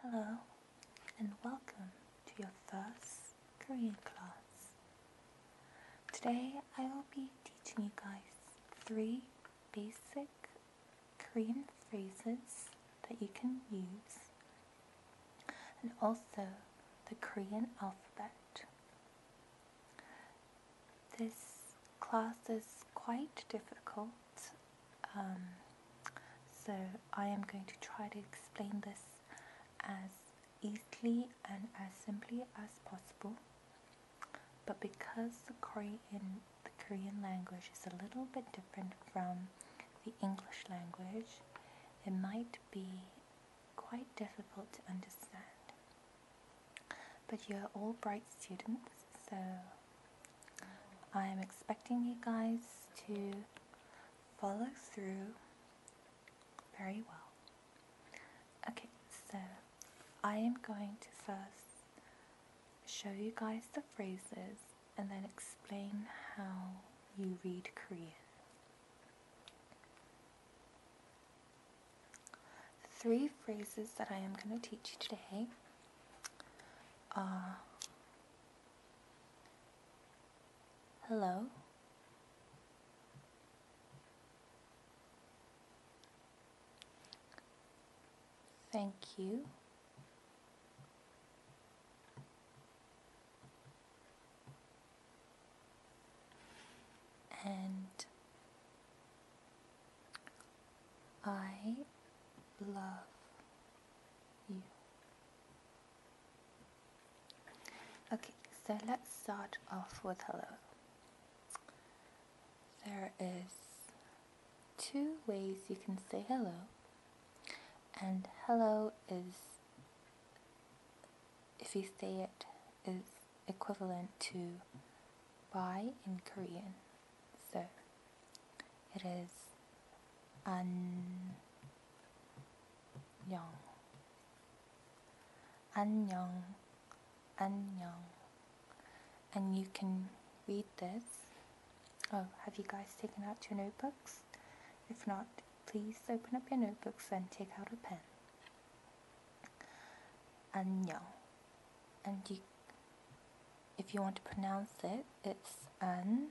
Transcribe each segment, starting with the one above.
Hello and welcome to your first Korean class. Today I will be teaching you guys three basic Korean phrases that you can use and also the Korean alphabet. This class is quite difficult um, so I am going to try to explain this as easily and as simply as possible. But because the Korean, the Korean language is a little bit different from the English language, it might be quite difficult to understand. But you're all bright students, so I am expecting you guys to follow through very well. Okay, so I am going to first show you guys the phrases and then explain how you read Korean. Three phrases that I am going to teach you today uh, hello? Thank you. And I love you. Okay, so let's start off with hello. There is two ways you can say hello. And hello is, if you say it, is equivalent to bye in Korean so it is 안녕 안녕 안녕 and you can read this. Oh, have you guys taken out your notebooks? If not, please open up your notebooks and take out a pen. 안녕 and you if you want to pronounce it, it's an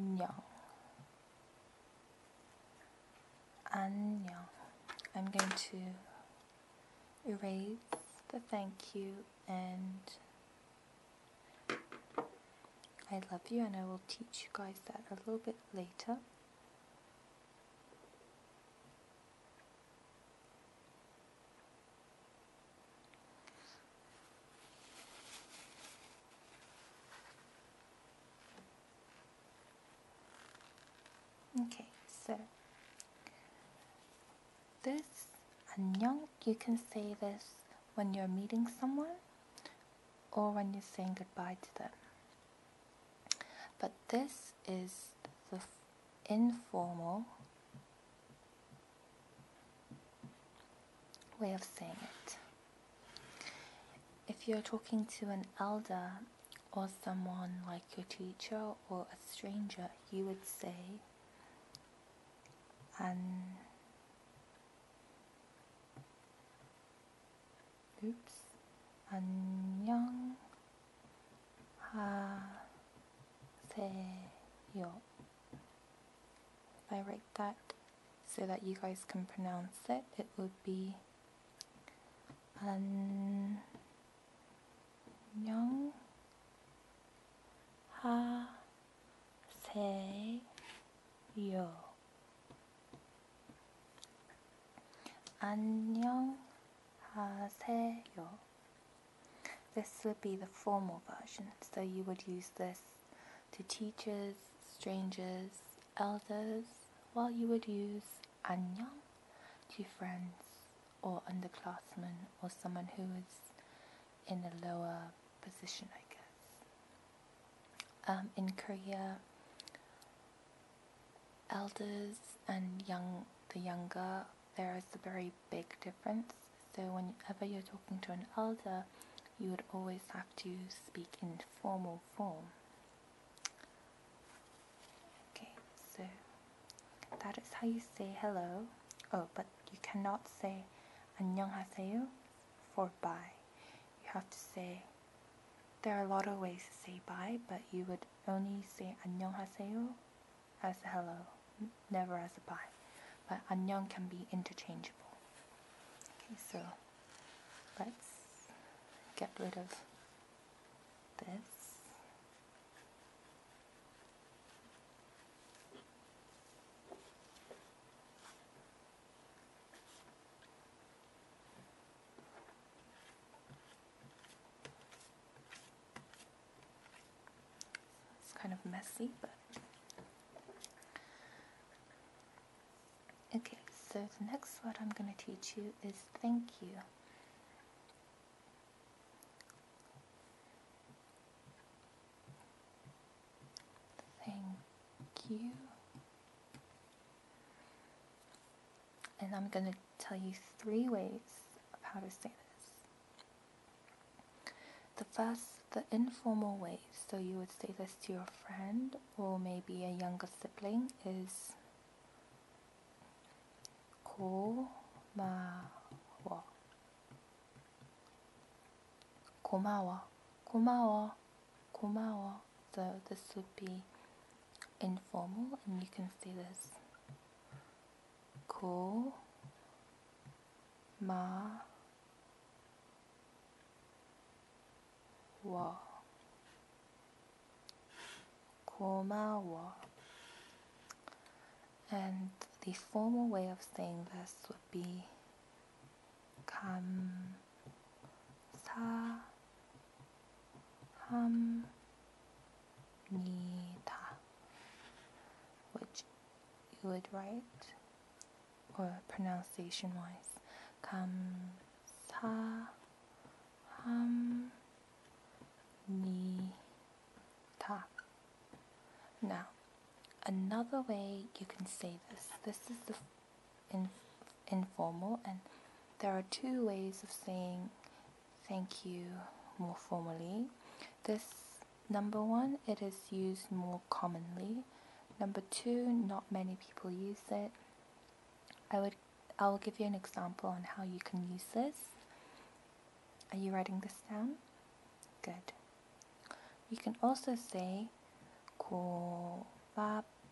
Nyong. I'm going to erase the thank you and I love you and I will teach you guys that a little bit later. Okay, so this 안녕, you can say this when you're meeting someone or when you're saying goodbye to them. But this is the informal way of saying it. If you're talking to an elder or someone like your teacher or a stranger, you would say, an um, oops, 안녕하세요. If I write that so that you guys can pronounce it, it would be 안녕하세요. 안녕하세요. This would be the formal version, so you would use this to teachers, strangers, elders, while you would use 안녕 to friends or underclassmen or someone who is in a lower position, I guess. Um, in Korea, elders and young the younger there is a very big difference so whenever you're talking to an elder you would always have to speak in formal form okay so that is how you say hello oh but you cannot say 안녕하세요 for bye you have to say there are a lot of ways to say bye, but you would only say 안녕하세요 as a hello, never as a bye. But 안녕 can be interchangeable. Okay, so let's get rid of this. It's kind of messy, but. Okay, so the next word I'm going to teach you is thank you. Thank you. And I'm going to tell you three ways of how to say this. The first, the informal way, so you would say this to your friend or maybe a younger sibling, is 고마워. 고마워. 고마워. 고마워 so this would be informal and you can see this cool ma wa komawa and the formal way of saying this would be 감사합니다 합니다. Which you would write or pronunciation wise. 감사합니다. Now, another way you can say this. This is the informal, and there are two ways of saying thank you more formally. This number one, it is used more commonly. Number two, not many people use it. I would I will give you an example on how you can use this. Are you writing this down? Good. You can also say 고밥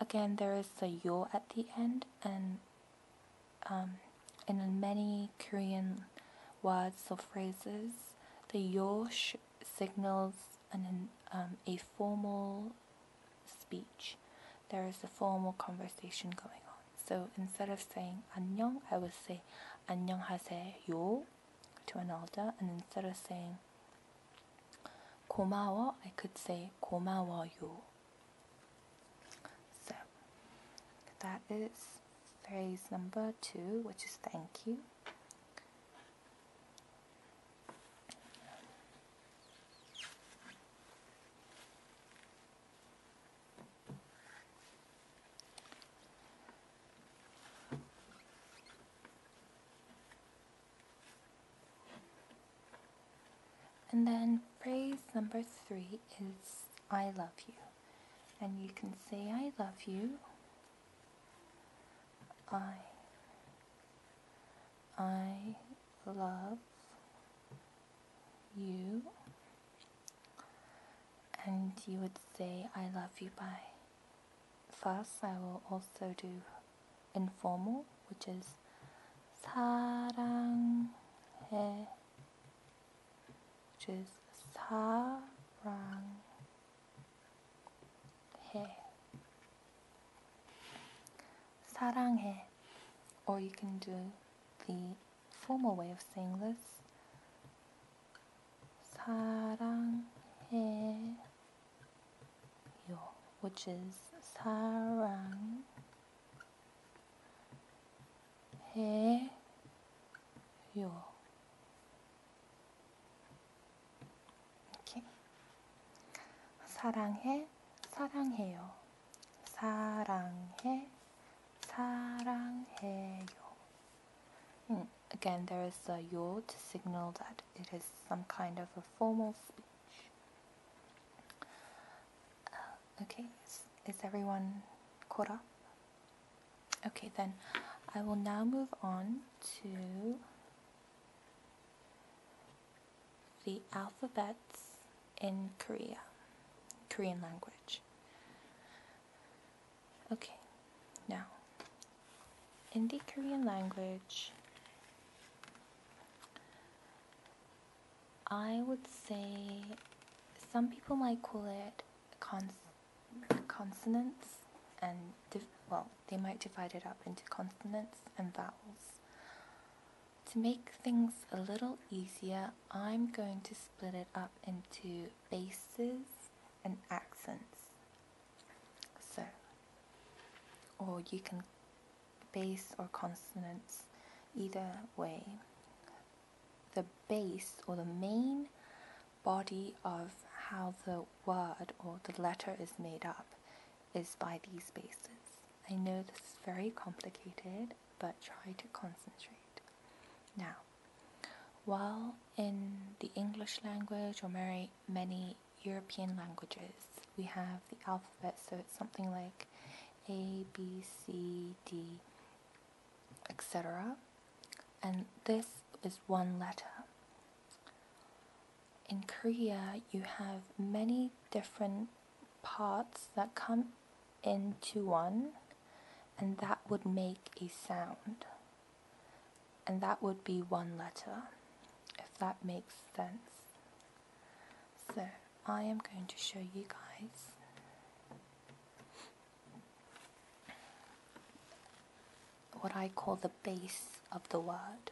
Again, there is the yo at the end, and um, in many Korean words or phrases, the yo signals an, um, a formal speech. There is a formal conversation going on. So instead of saying 안녕, I will say 안녕하세요 to an elder, and instead of saying 고마워, I could say 고마워요. So that is phrase number two, which is thank you. And then phrase number three is I love you. And you can say I love you. I I love you. And you would say I love you by first, I will also do informal, which is 사랑해, which is 사랑해, 사랑해, or you can do the formal way of saying this. 사랑해 yo, which is sarang yo. 이렇게 사랑해, 사랑해요. 사랑해, 사랑해요. again, there is a yo to signal that it is some kind of a formal uh, okay, is, is everyone caught up? Okay, then I will now move on to the alphabets in Korea, Korean language. Okay, now, in the Korean language, I would say some people might call it consonants and well, they might divide it up into consonants and vowels. To make things a little easier, I'm going to split it up into bases and accents. So, or you can bass or consonants, either way. The base or the main body of how the word or the letter is made up is by these bases. I know this is very complicated, but try to concentrate. Now, while in the English language or many European languages. We have the alphabet, so it's something like A, B, C, D, etc. And this is one letter. In Korea, you have many different parts that come into one, and that would make a sound. And that would be one letter, if that makes sense. So I am going to show you guys what I call the base of the word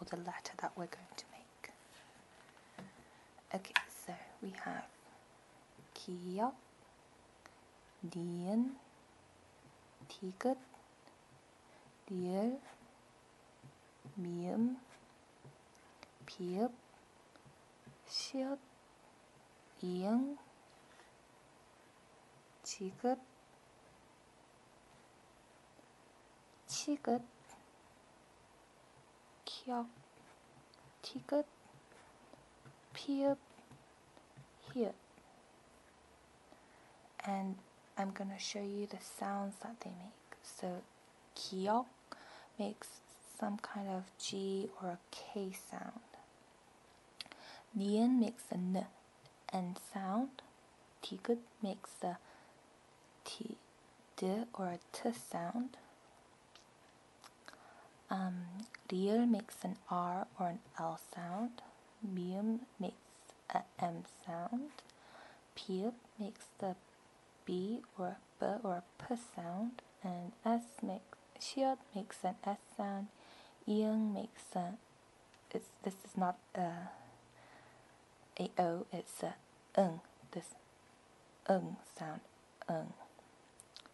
or the letter that we're going to make. Okay, so we have kia, dien, tiget, 니을, 미음, 비읍, 시옷, 이응, 지긋, 치긋, 키역, 티긋, 피읍, 히읗 and I'm going to show you the sounds that they make. So kiok makes some kind of G or a K sound. Nian makes a N and sound. Tigut makes a T, D or a T sound. Um, Riel makes an R or an L sound. Mium makes a M sound. P makes the B or B or P sound, and S makes shield makes an S sound. Yung makes a. It's this is not a. A O. It's a ng. This ng sound. Ng.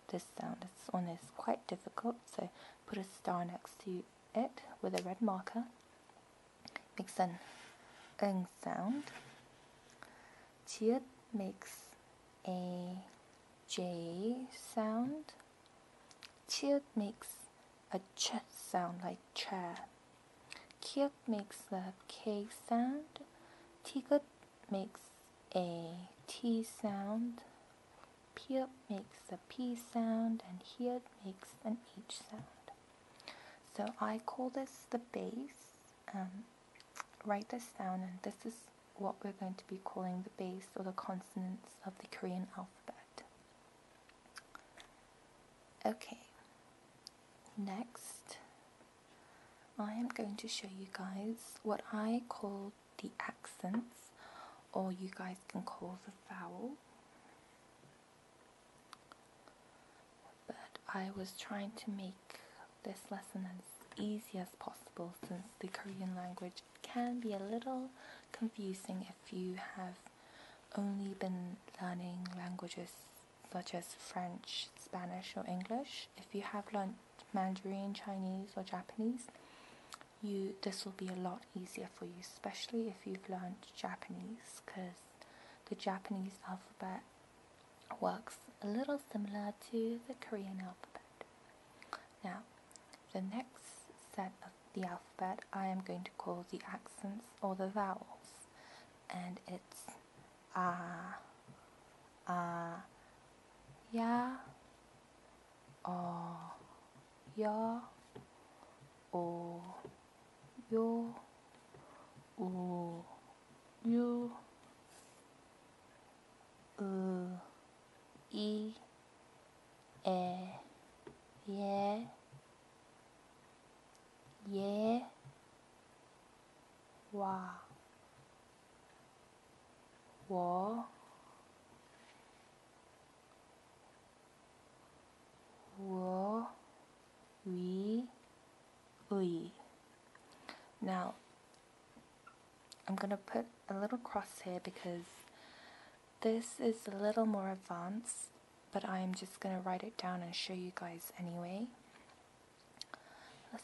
This sound. This one is quite difficult. So put a star next to it with a red marker makes an ng sound. Chiat makes a j sound. Chiat makes a ch sound like cha. Kiat makes a k sound. Tigat makes a t sound. Piat makes a p sound and hiat makes an h sound. So I call this the base. Um, write this down, and this is what we're going to be calling the base or the consonants of the Korean alphabet. Okay, next I am going to show you guys what I call the accents, or you guys can call the vowel. But I was trying to make this lesson as easy as possible since the Korean language can be a little confusing if you have only been learning languages such as French, Spanish, or English. If you have learned Mandarin, Chinese, or Japanese, you this will be a lot easier for you, especially if you've learned Japanese, because the Japanese alphabet works a little similar to the Korean alphabet. Now, the next set of the alphabet I am going to call the accents or the vowels, and it's ah, ah, ya, o, yo, o. 요, 오, 유, 으, 이, 에, 예, 예, 와, 워, wo, Now, I'm going to put a little cross here because this is a little more advanced, but I'm just going to write it down and show you guys anyway.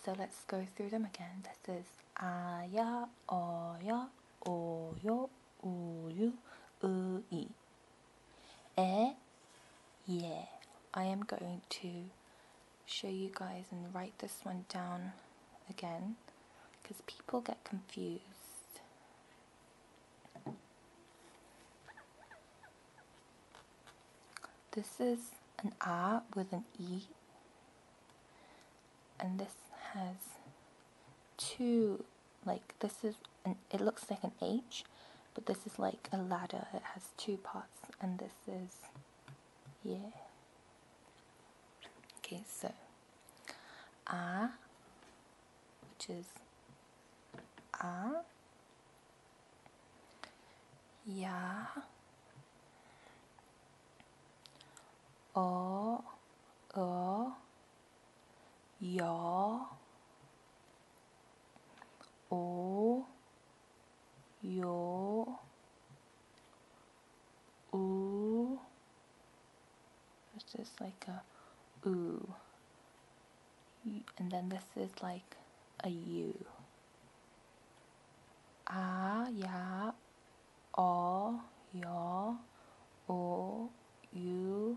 So let's go through them again. This is aya, oya, oyo, uyu, ui. Eh? Yeah. I am going to show you guys and write this one down again because people get confused. This is an R with an E and this has two like this is an, it looks like an H but this is like a ladder it has two parts and this is yeah okay so a which is a yeah, o o 여, 오, 요, 우. It's just like a ooh. And then this is like a u. 아, 야, 어, 여, 오, 유,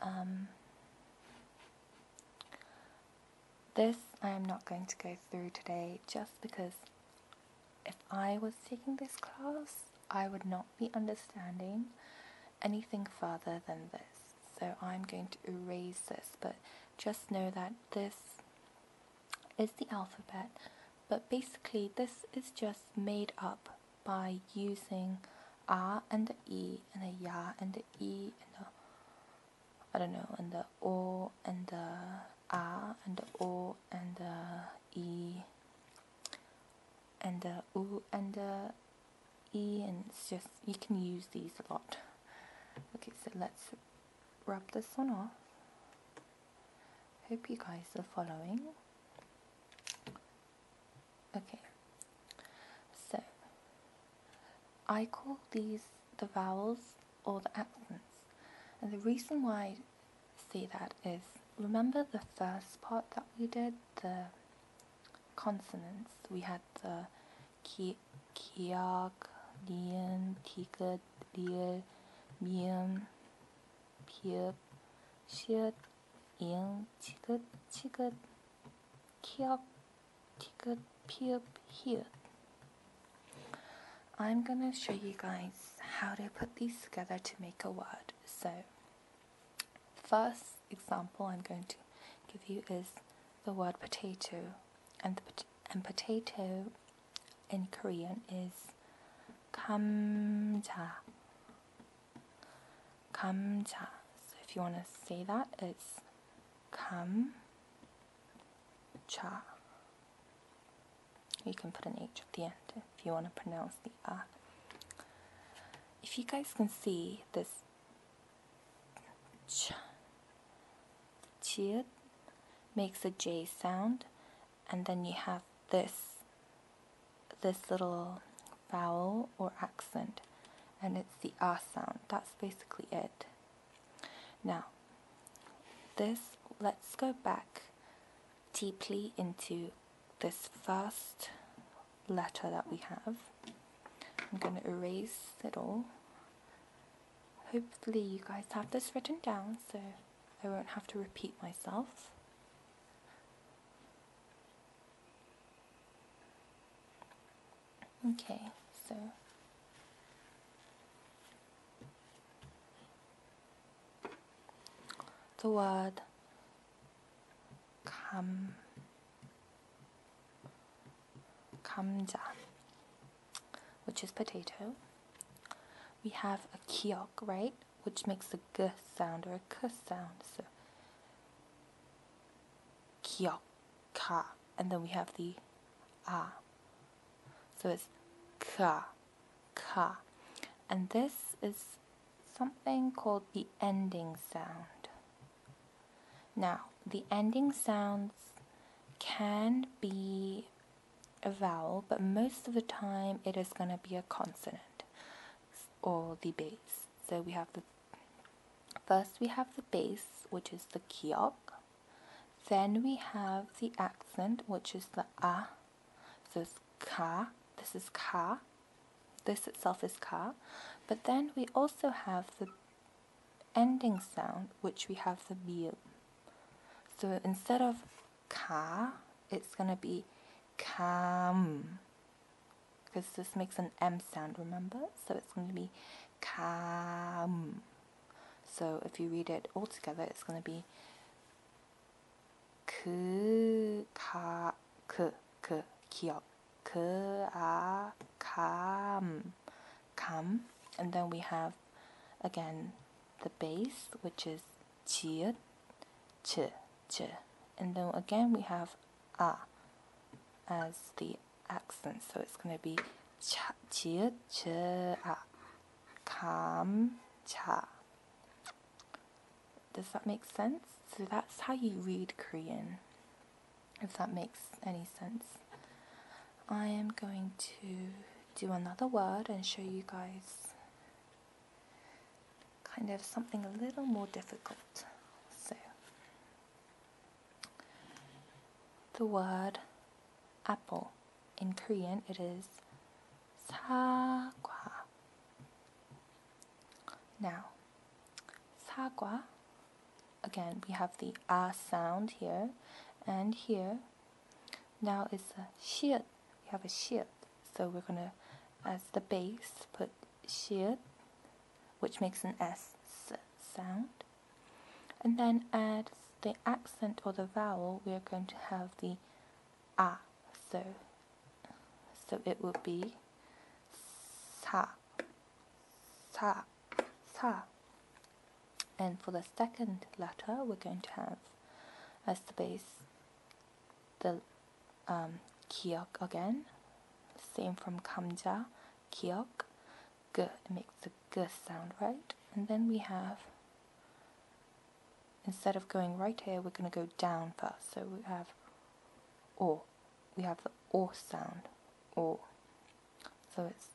Um, this I am not going to go through today just because if I was taking this class, I would not be understanding anything further than this. So I'm going to erase this, but just know that this is the alphabet, but basically this is just made up by using R and the E and a ya and the E and the I don't know and the O and the R and the O and the E and the U and the E and it's just you can use these a lot. Okay, so let's rub this one off. Hope you guys are following. Okay, so I call these the vowels or the accents, and the reason why I say that is remember the first part that we did the consonants we had the ki kiak lien tiget liel miem piep shiet 이응, 치귿, 치귿, 키역, 티귿, 피읍, 히읗. I'm gonna show you guys how to put these together to make a word. So, first example I'm going to give you is the word potato, and the and potato in Korean is 감자, 감자. So if you want to say that, it's 감자. You can put an H at the end if you want to pronounce the R. If you guys can see this ch, chid makes a J sound, and then you have this this little vowel or accent, and it's the ah sound. That's basically it. Now, this, let's go back deeply into this first letter that we have. I'm going to erase it all. Hopefully you guys have this written down so I won't have to repeat myself. Okay, so the word 감 감자, which is potato. We have a kiok, right? which makes a g sound or a k sound. So kyoka, and then we have the ah. So it's ka, ka, and this is something called the ending sound. Now the ending sounds can be a vowel, but most of the time it is going to be a consonant or the base. So we have the first we have the base, which is the kiok. Then we have the accent, which is the ah. So it's ka. This is ka. This itself is ka. But then we also have the ending sound, which we have the bill. So instead of ka, it's going to be kam. Because this makes an M sound, remember? So it's going to be kam. So if you read it all together, it's going to be 그, 가, 그, 그, 기억. 그, 아, 감, 감. And then we have, again, the base, which is 지읒, ch, ch. And then again we have ah as the accent, so it's going to be 차, 지읒, 아, 감, cha. Does that make sense? So that's how you read Korean, if that makes any sense. I am going to do another word and show you guys kind of something a little more difficult. So, the word apple in Korean it is 사과. Now, sagwa. Again, we have the a ah sound here and here. Now it's a shiut we have a sh, So we're going to, as the base, put sh, which makes an S sound. And then add the accent or the vowel, we are going to have the ah. So, so it will be sa, sa, sa. And for the second letter, we're going to have as the base the um, again. Same from Kamja. 기억. G it makes the g sound, right? And then we have, instead of going right here, we're going to go down first. So we have or. We have the or sound, or. So it's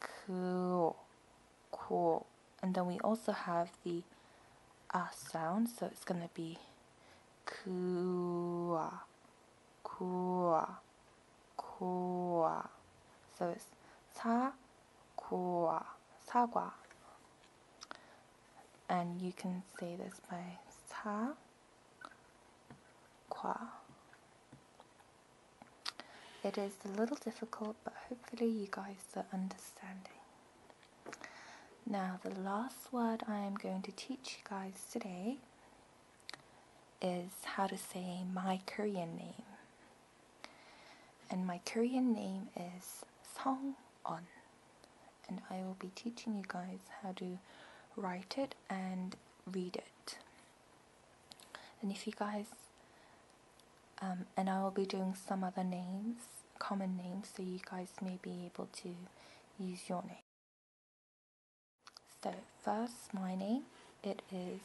그어 cool. And then we also have the ah sound, so it's going to be kua, kua, kua. So it's sa kua, sagua. And you can say this by sa qua. It is a little difficult, but hopefully you guys the understanding. Now, the last word I am going to teach you guys today is how to say my Korean name. And my Korean name is Song On. And I will be teaching you guys how to write it and read it. And if you guys um, and I will be doing some other names, common names, so you guys may be able to use your name. So first, my name, it is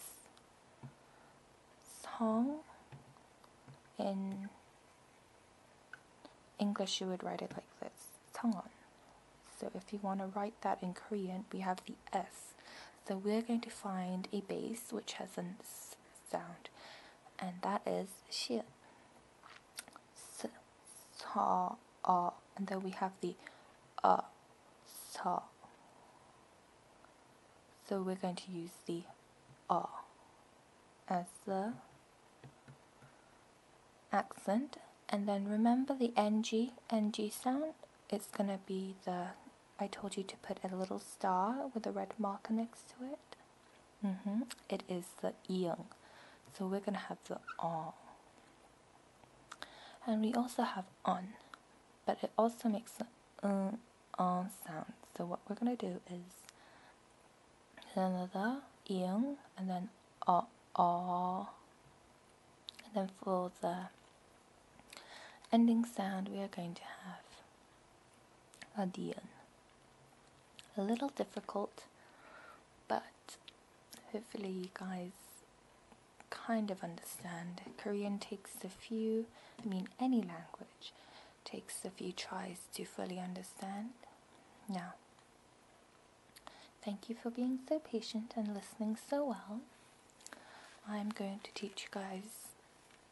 Song. In English, you would write it like this, Songon. So if you want to write that in Korean, we have the S. So we're going to find a base which has S sound, and that is she. So, and then we have the uh, so. we're going to use the r as the accent, and then remember the ng ng sound. It's gonna be the I told you to put a little star with a red marker next to it. Mm-hmm. It is the yang. So we're gonna have the on. And we also have on, but it also makes the um, sound. So what we're gonna do is another yang and then ah ah, and then for the Ending sound we are going to have a dion. A little difficult, but hopefully you guys kind of understand. Korean takes a few, I mean any language, takes a few tries to fully understand. Now, thank you for being so patient and listening so well. I'm going to teach you guys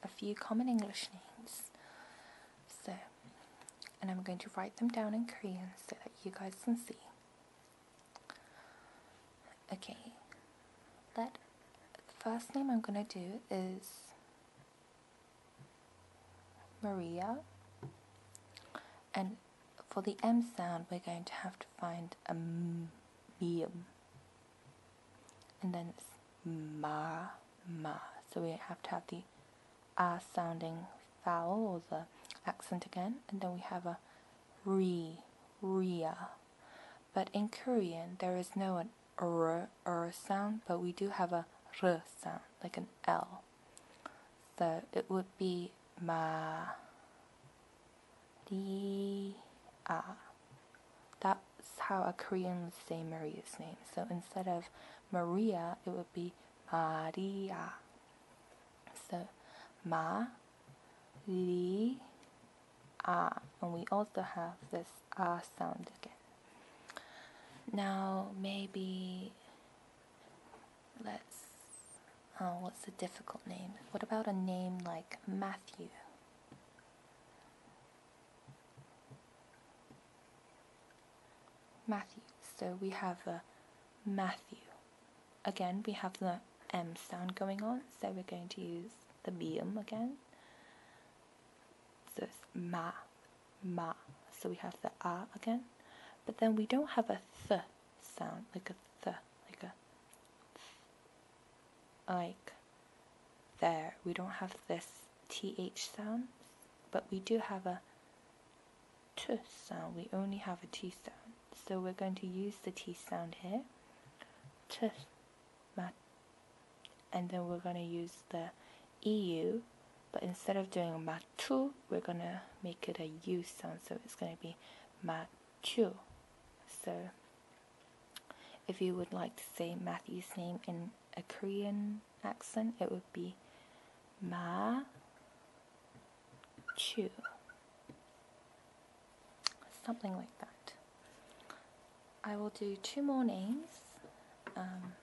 a few common English names. So, and I'm going to write them down in Korean so that you guys can see. Okay, let the first name I'm going to do is Maria. And for the M sound, we're going to have to find a and then it's ma, ma. So we have to have the ah sounding vowel or the accent again, and then we have a re, ria. But in Korean, there is no an r, sound, but we do have a r sound, like an L. So it would be ma, ri, a. That's how a Korean would say Maria's name. So instead of Maria, it would be Maria. So Ma, Li, Ah. And we also have this Ah sound again. Now, maybe let's. Oh, what's a difficult name? What about a name like Matthew? Matthew. So we have a uh, Matthew. Again, we have the M sound going on, so we're going to use the medium again. So ma, ma. So we have the a again, but then we don't have a th sound like a th, like a like there. We don't have this th sound, but we do have a t sound. We only have a t sound. So we're going to use the t sound here. T, and then we're going to use the eu, but instead of doing matu, we're going to make it a u sound. So it's going to be matu. So if you would like to say Matthew's name in a Korean accent, it would be Ma Chu. Something like that. I will do two more names. Um,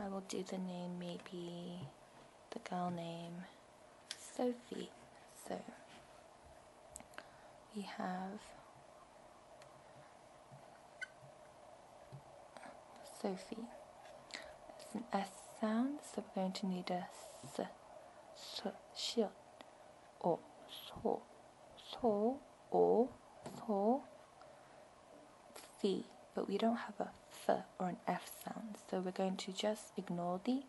I will do the name, maybe the girl name Sophie. So we have Sophie. It's an S sound, so we're going to need a S, S, shield, or so, so, or so, fee. But we don't have a th or an f sound. So we're going to just ignore the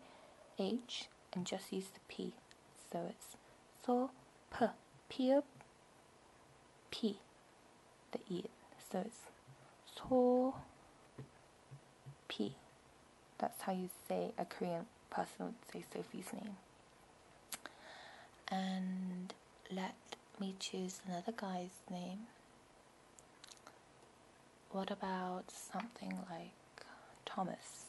h and just use the p. So it's so p p p the e. So it's so p. That's how you say a Korean person would say Sophie's name. And let me choose another guy's name. What about something like Thomas?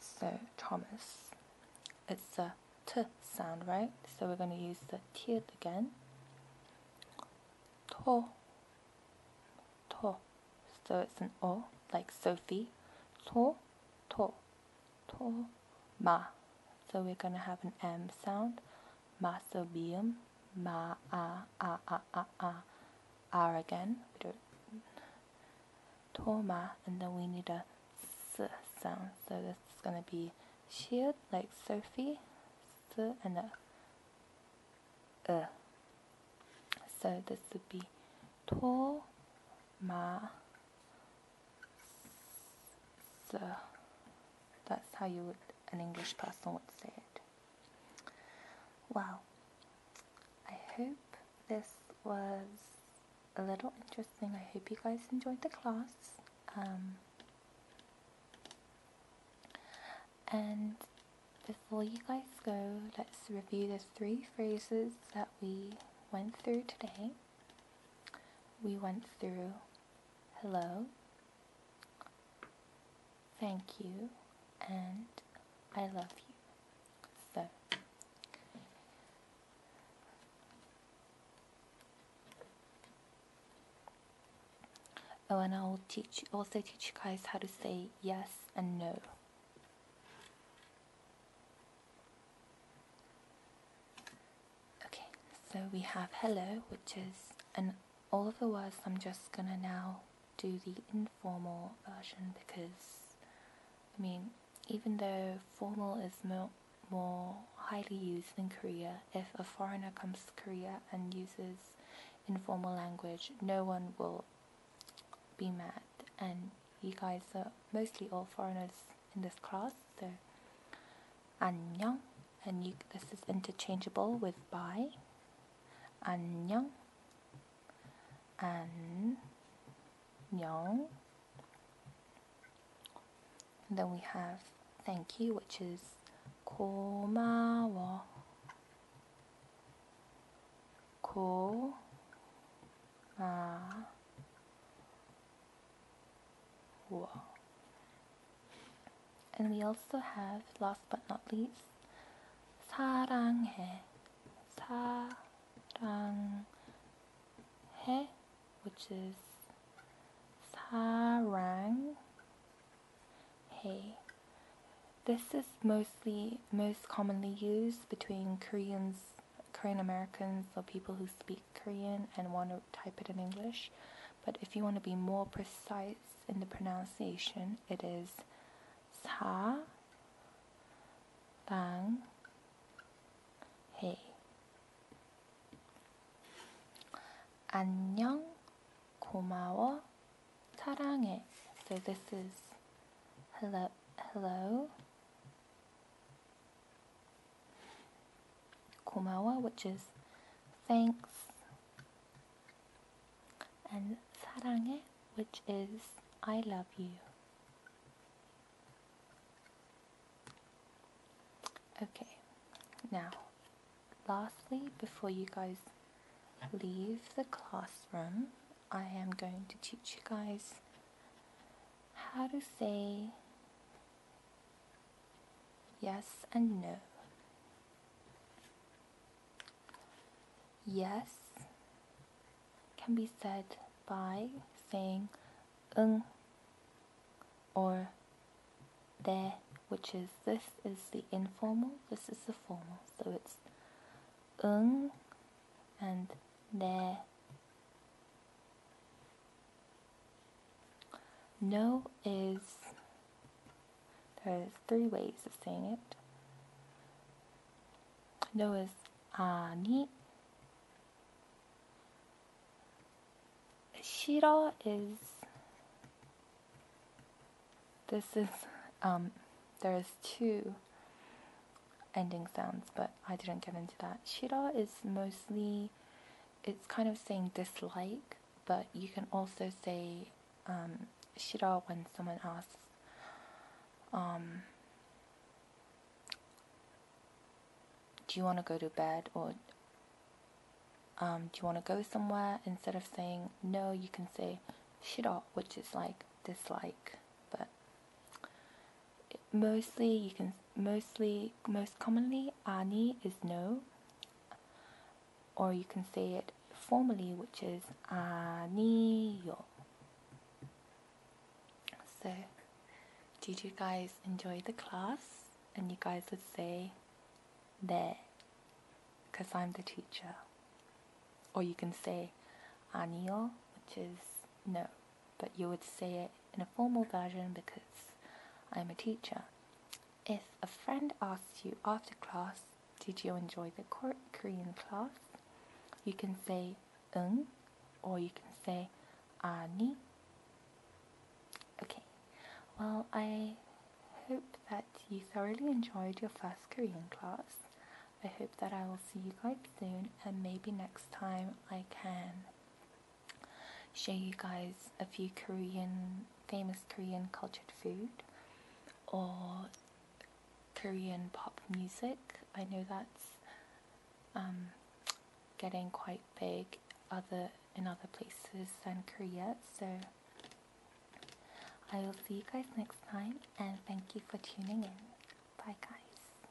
So Thomas, it's a t sound, right? So we're going to use the t again. To, to. So it's an o, like Sophie. To, to, to ma. So we're going to have an M sound, Ma masobium, ma, a, a, a, a, a, r again, we don't, toma, and then we need a s sound. So this is going to be shield, like Sophie, s, and a, uh. So this would be toma, so that's how you would, an English person would say it. Well, I hope this was a little interesting. I hope you guys enjoyed the class. Um, and before you guys go, let's review the three phrases that we went through today. We went through hello, thank you, and I love you. So, oh, and I'll teach also teach you guys how to say yes and no. Okay, so we have hello, which is an all of the words I'm just gonna now do the informal version because I mean, even though formal is more, more highly used in Korea, if a foreigner comes to Korea and uses informal language, no one will be mad. And you guys are mostly all foreigners, in this class. So, 안녕, and this is interchangeable with bye. 안녕, 안녕. And then we have thank you, which is 고마워, 고마워. Whoa. And we also have, last but not least, 사랑해. 사랑해, which is 사랑해. This is mostly most commonly used between Koreans, Korean Americans, or people who speak Korean and want to type it in English. But if you want to be more precise in the pronunciation, it is sa lang he. 안녕, 고마워, 사랑해. So this is hello, hello, Kumawa, which is thanks, and 사랑해, which is I love you. Okay, now, lastly, before you guys leave the classroom, I am going to teach you guys how to say Yes and no. Yes can be said by saying ng or there, which is this is the informal, this is the formal. So it's ng and there. No is, there's three ways of saying it. No is 아니. 싫어 is, this is, um, there's two ending sounds, but I didn't get into that. Shira is mostly it's kind of saying dislike, but you can also say um, when someone asks, um, do you want to go to bed or um, do you want to go somewhere? Instead of saying no, you can say shira, which is like dislike. But mostly you can mostly most commonly ani is no or you can say it formally which is ani yo. so did you guys enjoy the class and you guys would say there because I'm the teacher or you can say anio which is no but you would say it in a formal version because I'm a teacher. If a friend asks you after class, did you enjoy the Korean class? You can say 응 or you can say 아니. Okay, well, I hope that you thoroughly enjoyed your first Korean class. I hope that I will see you guys soon and maybe next time I can show you guys a few Korean, famous Korean cultured food or Korean pop music. I know that's um, getting quite big other in other places than Korea. So I will see you guys next time and thank you for tuning in. Bye guys.